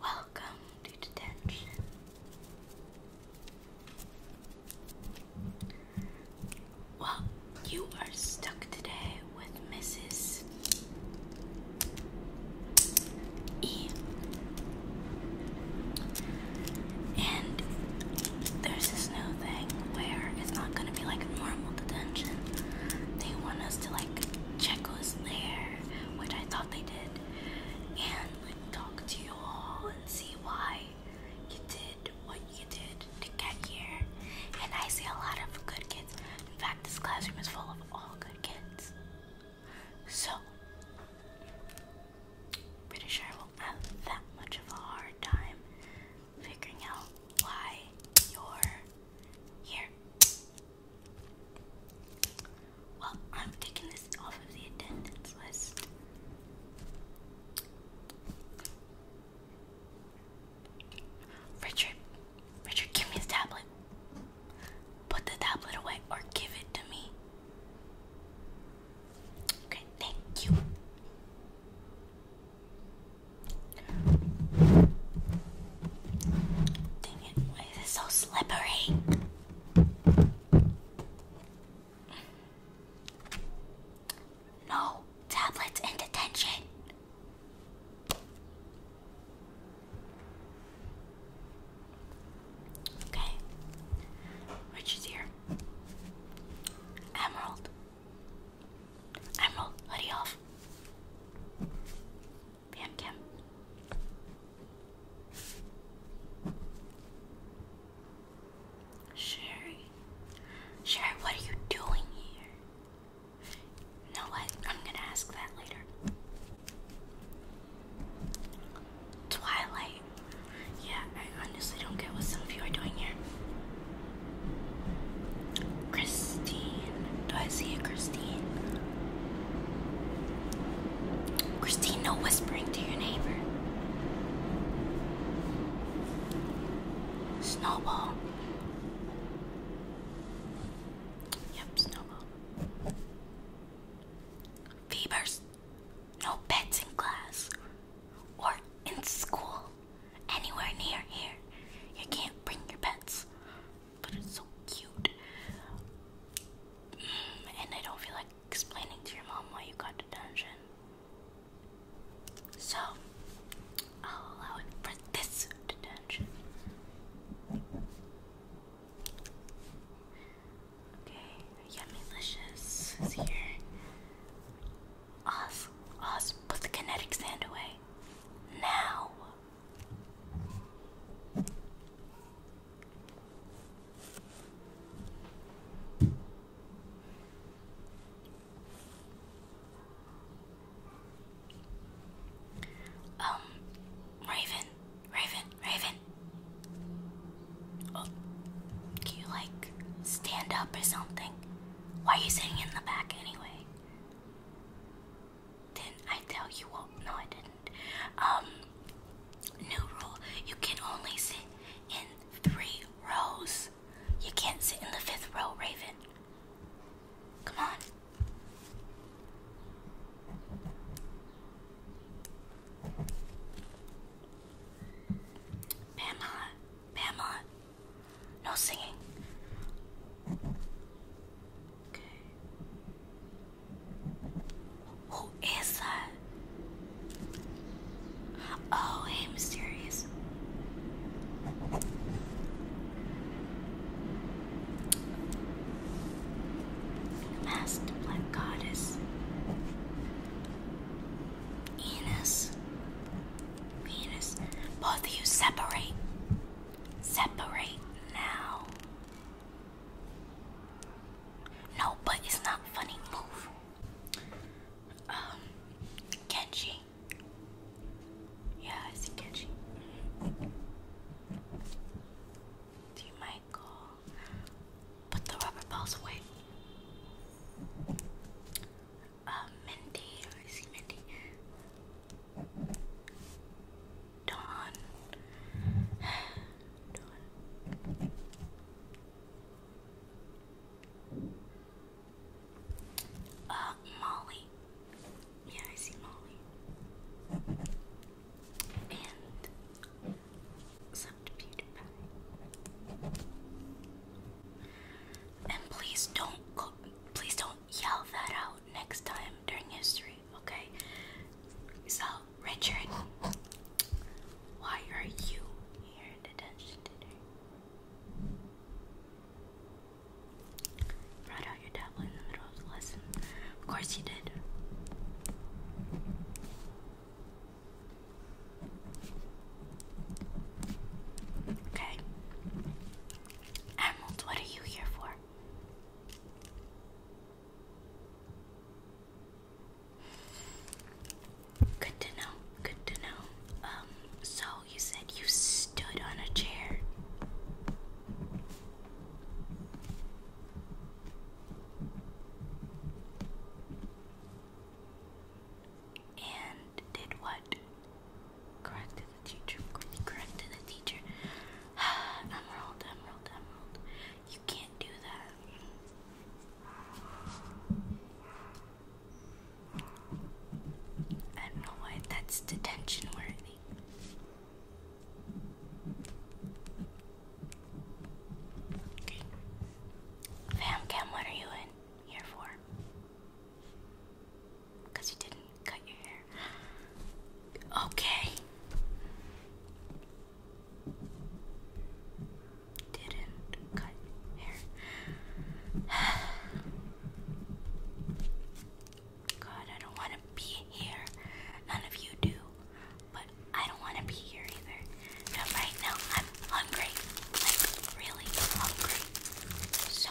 Welcome to detention. Well, you are stuck today with Mrs. E. And there's this new where it's not going be like normal detention. They want us to like check who's there, which I thought they did, and talk to you all and see why you did what you did to get here. And I see a lot of good kids. In fact, this classroom is full of all good kids. So, pretty sure I won't have that much of a hard time figuring out why you're here. Well, I'm taking this off of the attendance list. Richard, Richard, give me his tablet. Put the tablet away or give it to me. Okay, thank you. Dang it, why is it so slippery? No, tablets in detention. Okay, which is here? Emerald. Emerald, hurry off. PM Kim. Sherry. Sherry, what are you doing here? You what? I'm gonna ask that later. Twilight. Yeah, I honestly don't get what some of you are doing here. Christine. Do I see a Christine? Christine, no whispering to your neighbor. Snowball. Yep, snowball. Fevers. No pets in class or in school anywhere near here. You can't bring your pets, but it's so cute. Mm, and I don't feel like explaining to your mom why you got detention. So, I'll allow it for this detention. Okay, Yummy is here. Oz, Oz, put the kinetic sand away now. Um, Raven, Raven, Raven. Oh, can you like stand up or something? Why are you sitting in the back anyway? did I tell you what? No, I didn't. Um, new rule: you can only sit in three rows. You can't sit in the fifth row, Raven. Come on. Bama, Bama, no singing. Okay. Who is that? Oh, hey, mysterious. masked black goddess. Enos. Venus. Both of you separate. Separate now. No, but it's not funny. Move. Um, Kenji. Yeah, I see Kenji. Do you mind Put the rubber balls away uh, Mindy, I see Mindy, Dawn, Dawn. Uh, Molly. Yeah, I see Molly. And subterfuge pie. And please don't, please don't yell that out next time during history, okay? So, Richard, why are you here in detention today? Brought out your tablet in the middle of the lesson. Of course you did. Okay. Arnold, what are you here for? Good to know. Good to know. Um, so you said you stood on a chair. And did what? Corrected the teacher. Corrected the teacher. emerald, emerald, emerald. You can't do that. I don't know why that's detention worthy. Okay. Fam Cam, what are you in here for? Because you didn't cut your hair. Okay. Didn't cut hair. God, I don't want to be here. None of you do. But I don't want to be here either. right now, I'm hungry. Like, really hungry. So,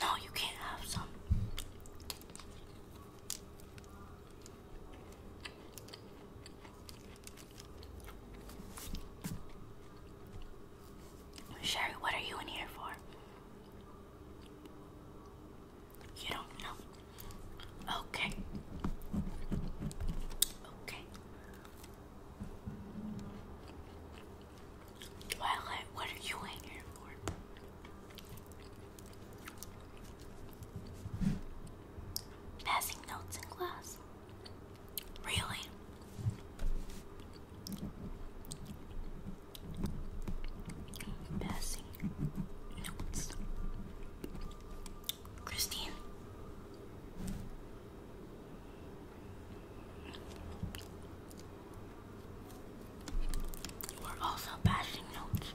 No, you can't have some. Sherry, what are you in here for? You don't know. Okay. Okay. Twilight, uh, what are you in here for? Passing notes in class? Really? Passing notes. Christine. We're also passing notes.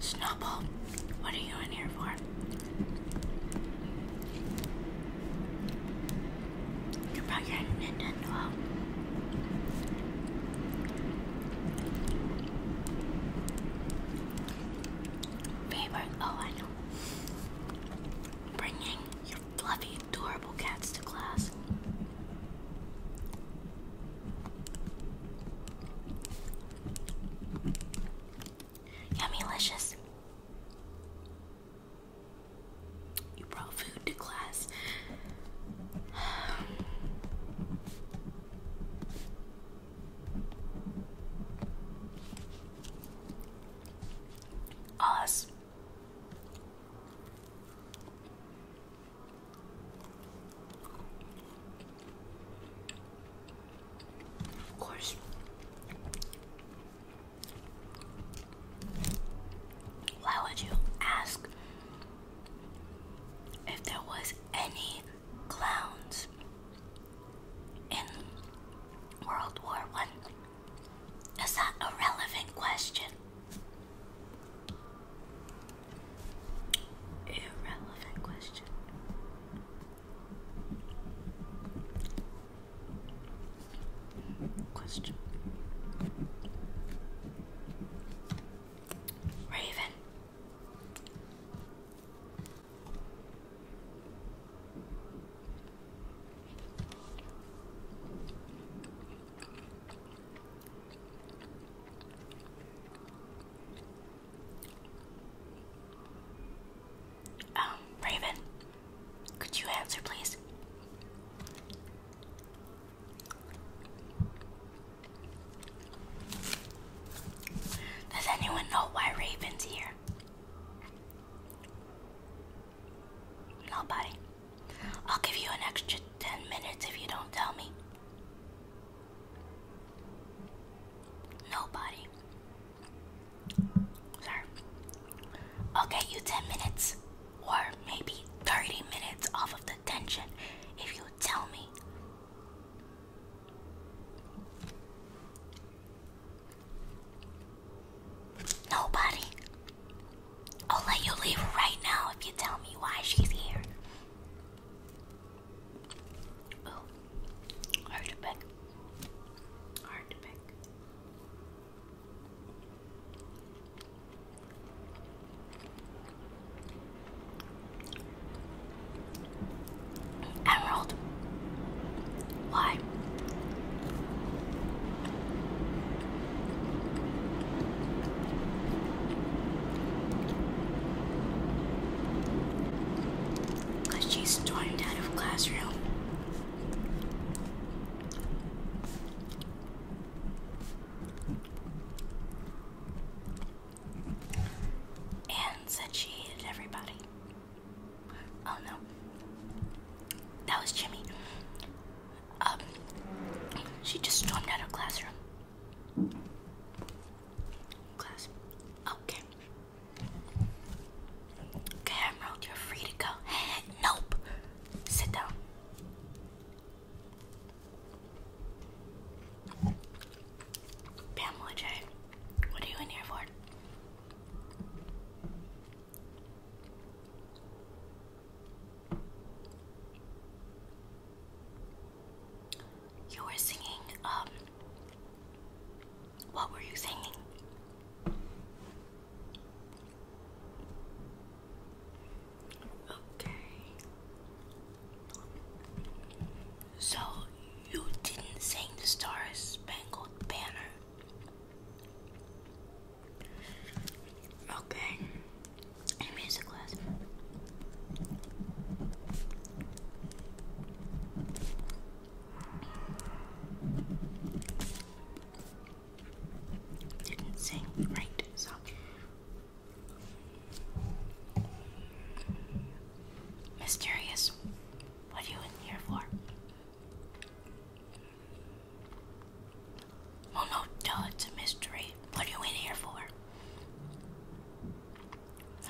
Snowball, what are you in here for? You brought your Nintendo out. Favorite? Oh, I know. Bringing your fluffy, adorable cats to class. Yummy-licious. You brought food to class. Us. Of course. Why would you ask if there was any clowns in World War One? Is that a relevant question? Irrelevant question. Question. Raven. Um, Raven, could you answer, please? Does anyone know why Raven's here? Nobody. I'll give you an extra 10 minutes if you don't tell me. Nobody. Sorry. I'll get you 10 minutes or maybe 30 minutes off of the if you tell me Nobody. I'll let you leave right now if you tell me why she's here. Oh, hard to pick. Hard to pick. Emerald. Why? Because she's stormed out of classroom and said she hated everybody. Oh no, that was Jimmy. Um, she just stormed out of classroom. Class, okay. Okay, you're free to go. nope. Sit down. Pamela J, what are you in here for? You were singing, um, what were you singing? Okay. So you didn't sing the Star Spangled Banner. Okay. In Didn't sing right, so Mysterious, what are you in here for? Well, oh, no, it's a mystery. What are you in here for?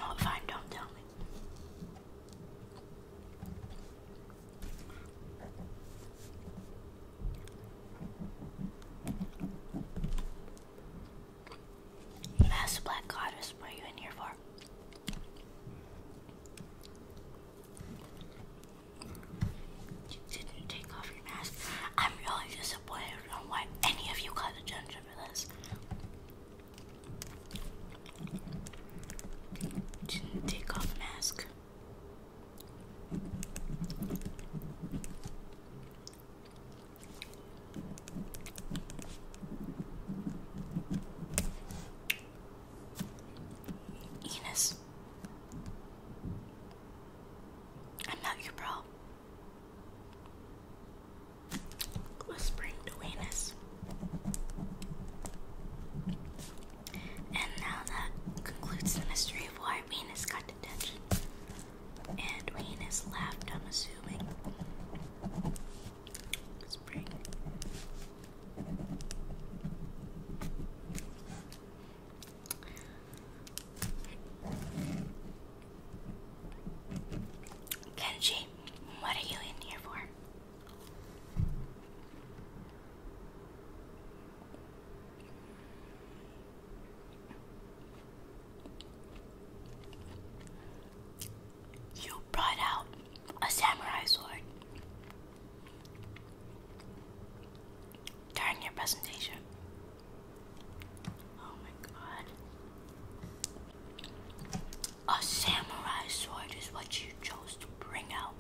Oh, fine, don't tell me. Last black goddess, what are you in here for? You didn't take off your mask. I'm really disappointed on why any of you got a for this. Didn't take off mask. Enos. I'm not your bro. Whispering to Enos. And now that concludes the mystery of why Venus got detention. And left, I'm assuming. Spring. Kenji, what are you in here for? You brought out a samurai sword during your presentation. Oh my god. A samurai sword is what you chose to bring out.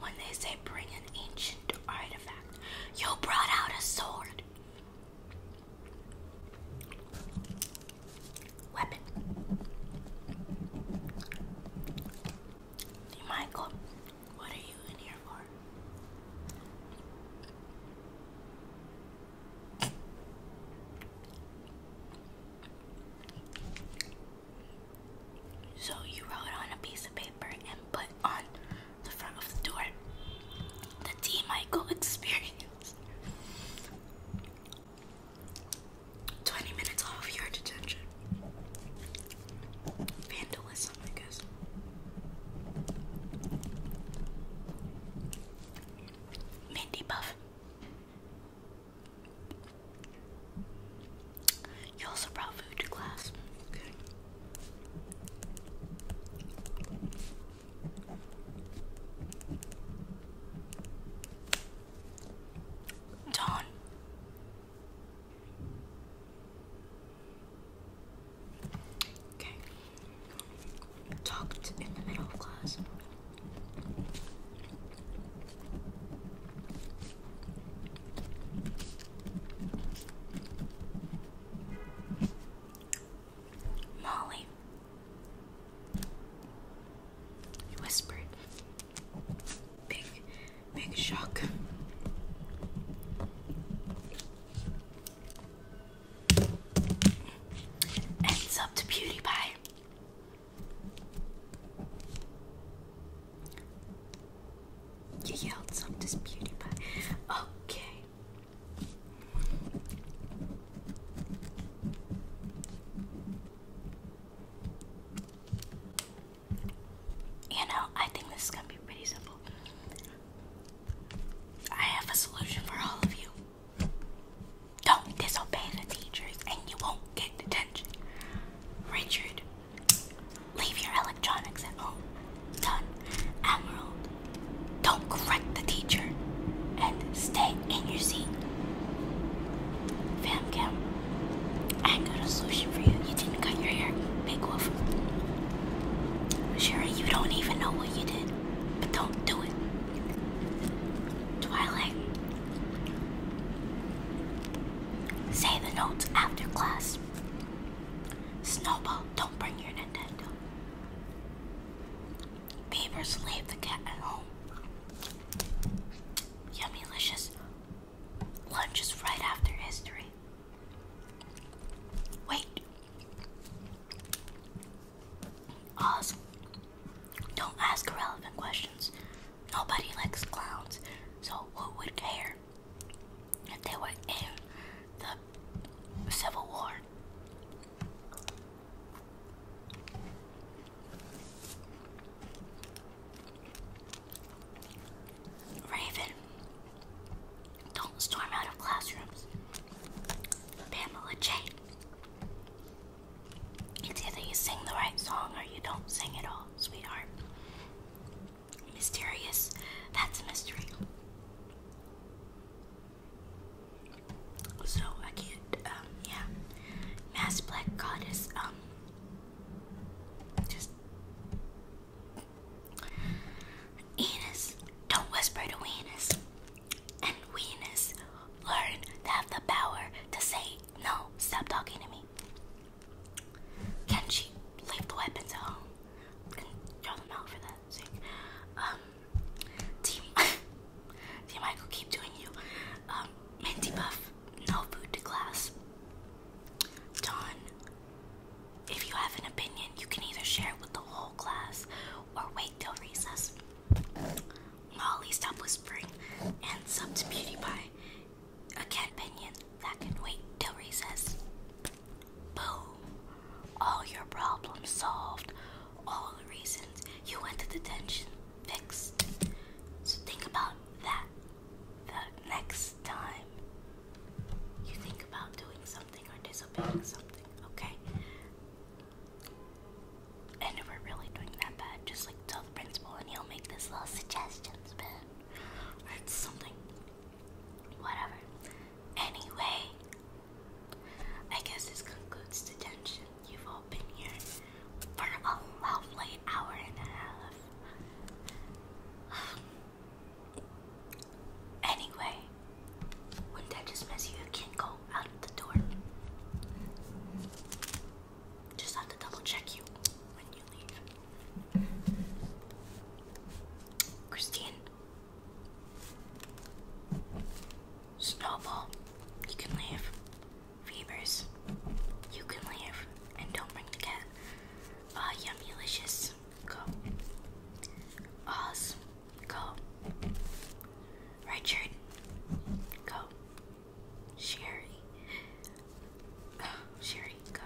When they say bring an ancient artifact, you brought out a sword. Weapon. Michael, what are you in here for? So you wrote on a piece of paper and put on the front of the door the T Michael experience. 20 minutes off your detention. Vandalism, I guess. Mindy Buff. You also brought food to class. Dawn. Okay. Talked in the middle of class. Molly, he whispered. Big, big shock. Ends up to Beauty Pie. You yelled something to Beauty Pie. Okay. You know, I think this is going to be pretty simple. I have a solution for all of you. Don't disobey the teachers and you won't get detention. Richard, leave your electronics at home. Done. Emerald, don't correct the teacher and stay in your seat. Fam Cam, I got a solution for you. You didn't cut your hair, Big Wolf. Sure, you don't even know what you did, but don't do it. Twilight, say the notes after class. Snowball, don't bring your Nintendo. Beavers leave the cat at home. Yummy lunch is right after history. Wait. Oz, don't ask irrelevant questions. Nobody likes clowns, so who would care if they were in the Civil War? Raven, don't storm out of classrooms. Pamela Jade, it's either you sing the right song or you don't sing at all, sweetheart. Mysterious, that's a mystery. So I can't, um, yeah. Mass Black Goddess, um, just. Enos, don't whisper to Enos. And Venus, learn to have the power to say, no, stop talking to me. Can she leave the weapons at home and them out for the dancing. Um, Team, Team Michael, keep doing you. Um, Minty no food to class. Don, if you have an opinion, you can either share it with the whole class or wait till recess. Molly, stop whispering and sub Beauty Pie. Again, opinion that can wait till recess. Boom. All your problems solved. All the reasons you went to detention fixed. So think about that the next time you think about doing something or disobeying something, okay? And if we're really doing that bad, just like tell the principal and he'll make this little suggestions, man. Or it's something. Whatever. Anyway, I guess this concludes detention. You've all been here for a lovely hour and a half. Anyway, wouldn't I just miss you? can't go out the door. Just have to double check you when you leave. Christine, Snowball, you can leave. Fevers, you can leave. And don't bring the cat. Ah, uh, yummylicious, go. Oz, go. Richard, go. Sherry, Sherry, go.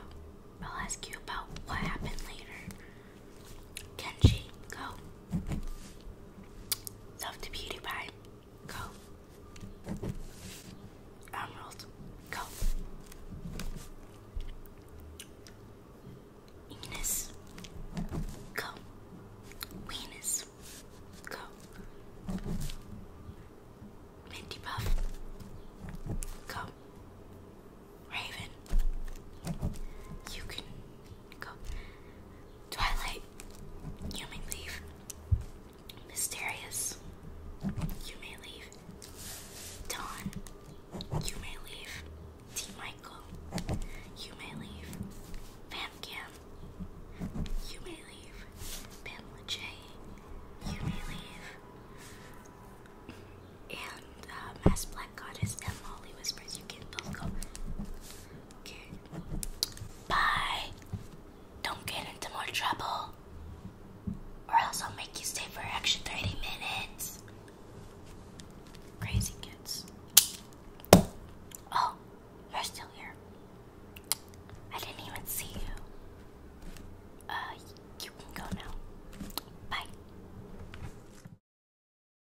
I'll ask you about what happened later. Kenji, go. Love the Beauty Pie, go. Emerald, go. Venus, go. Venus, go. Minty Puff, go. Raven, you can go. Twilight, you may leave. Mysterious, you may leave. Dawn, you may leave. T. Michael, you may leave. Pam Cam, you may leave. Pamela J, you may leave. And uh, Mass Black Goddess and Molly Whispers, you can both go. Okay. Bye. Don't get into more trouble. Or else I'll make you stay for extra 30 minutes. Crazy kids. Oh, you're still here. I didn't even see you. Uh, you can go now. Bye.